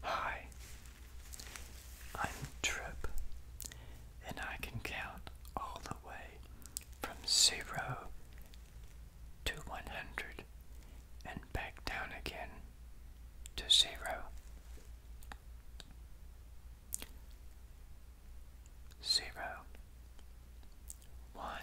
Hi, I'm Trip, and I can count all the way from zero to one hundred and back down again to zero. Zero, one,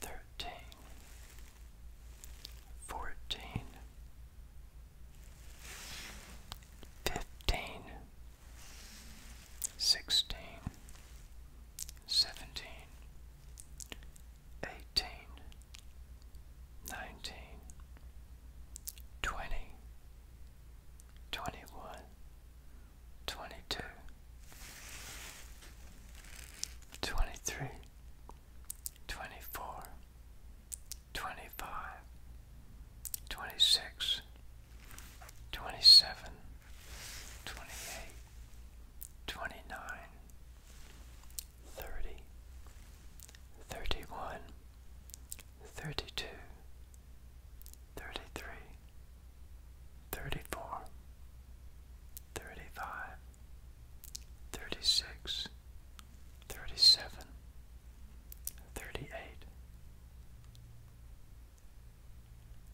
thirteen, fourteen, fifteen, sixteen, seventeen, eighteen, nineteen, twenty, twenty one. 22 23 24 25 26 27 28 29 30 31 32 thirty-three, thirty-four, thirty-five, thirty-six, thirty-seven, thirty-eight,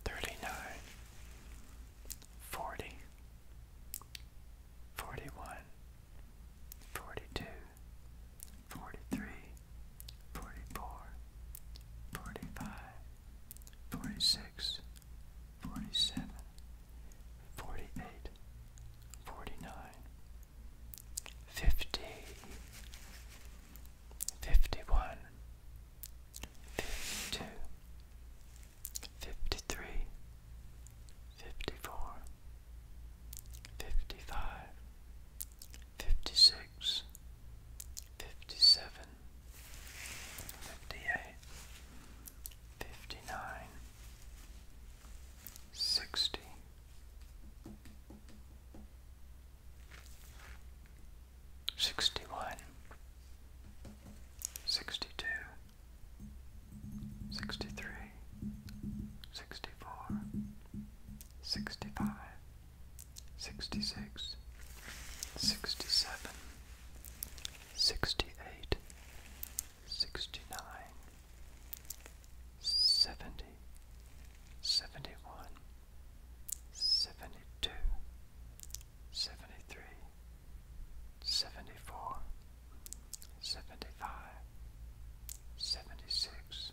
thirty-nine, forty, forty-one, forty-two, 43, 44, 45, 46, 47, 48, 49, 50, 51, 52, 53, 54, 55, fifty six, fifty seven, fifty eight, fifty nine, sixty. Sixty one, sixty two, sixty three, sixty four, 65, 66, 67, 68, 69, 71, 72, 73, 74, 75, 76,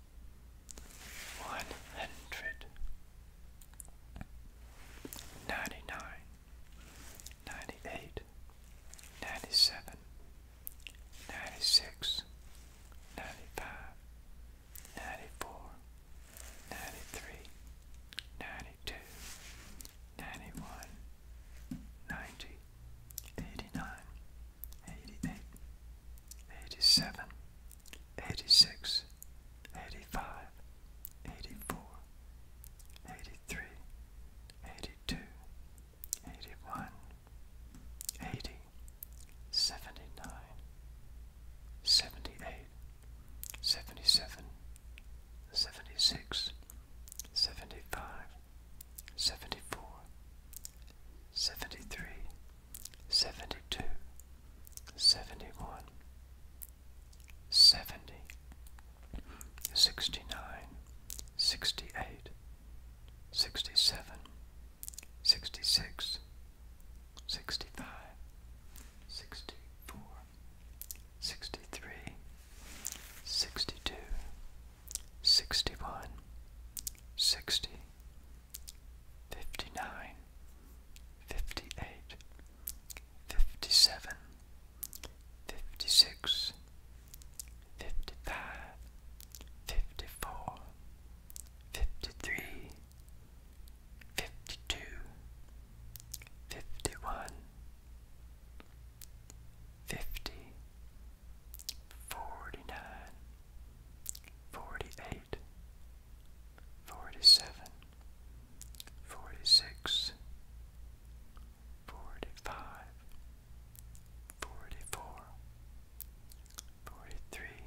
one hundred ninety nine ninety eight ninety seven ninety six ninety five ninety four ninety three ninety two ninety one ninety eighty nine eighty eight 87, 86, 85, 84, 82, 81, 80, 78, 77, 76, 75, 74, 73, 72 71 70 69 68 67 66 65 63 62 61 60 59 58 57 56 55 54 53 52 51 50 forty nine, forty eight, forty seven, forty six, forty five, forty four, forty three,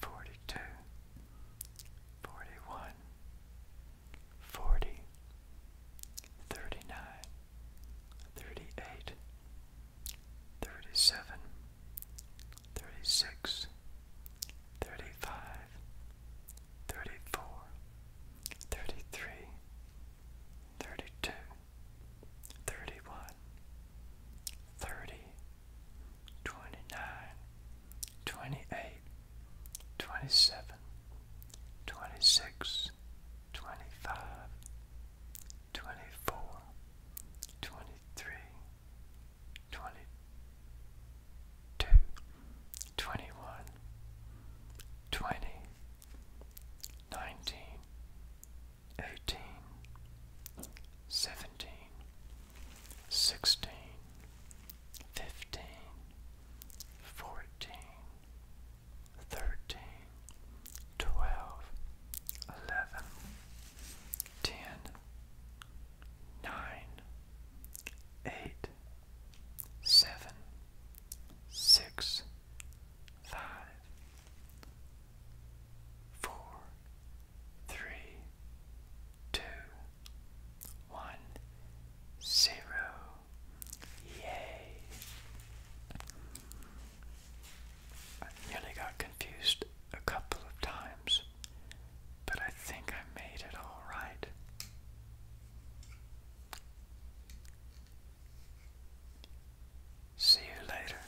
forty two, forty one, forty thirty-nine, thirty-eight, thirty-seven, thirty-six, thirty-five, thirty-four, thirty-three, thirty-two, thirty-one, thirty, twenty-nine, twenty-eight, twenty-seven. 26, 25, 21, 19, 18, 17, 16, 15, 14, 13, 12, 11, 10, 9, 8, 7, 6, 5, 4, 3, 2, 1 zero. Yay! I nearly got confused a couple of times, but I think I made it all right. See you later.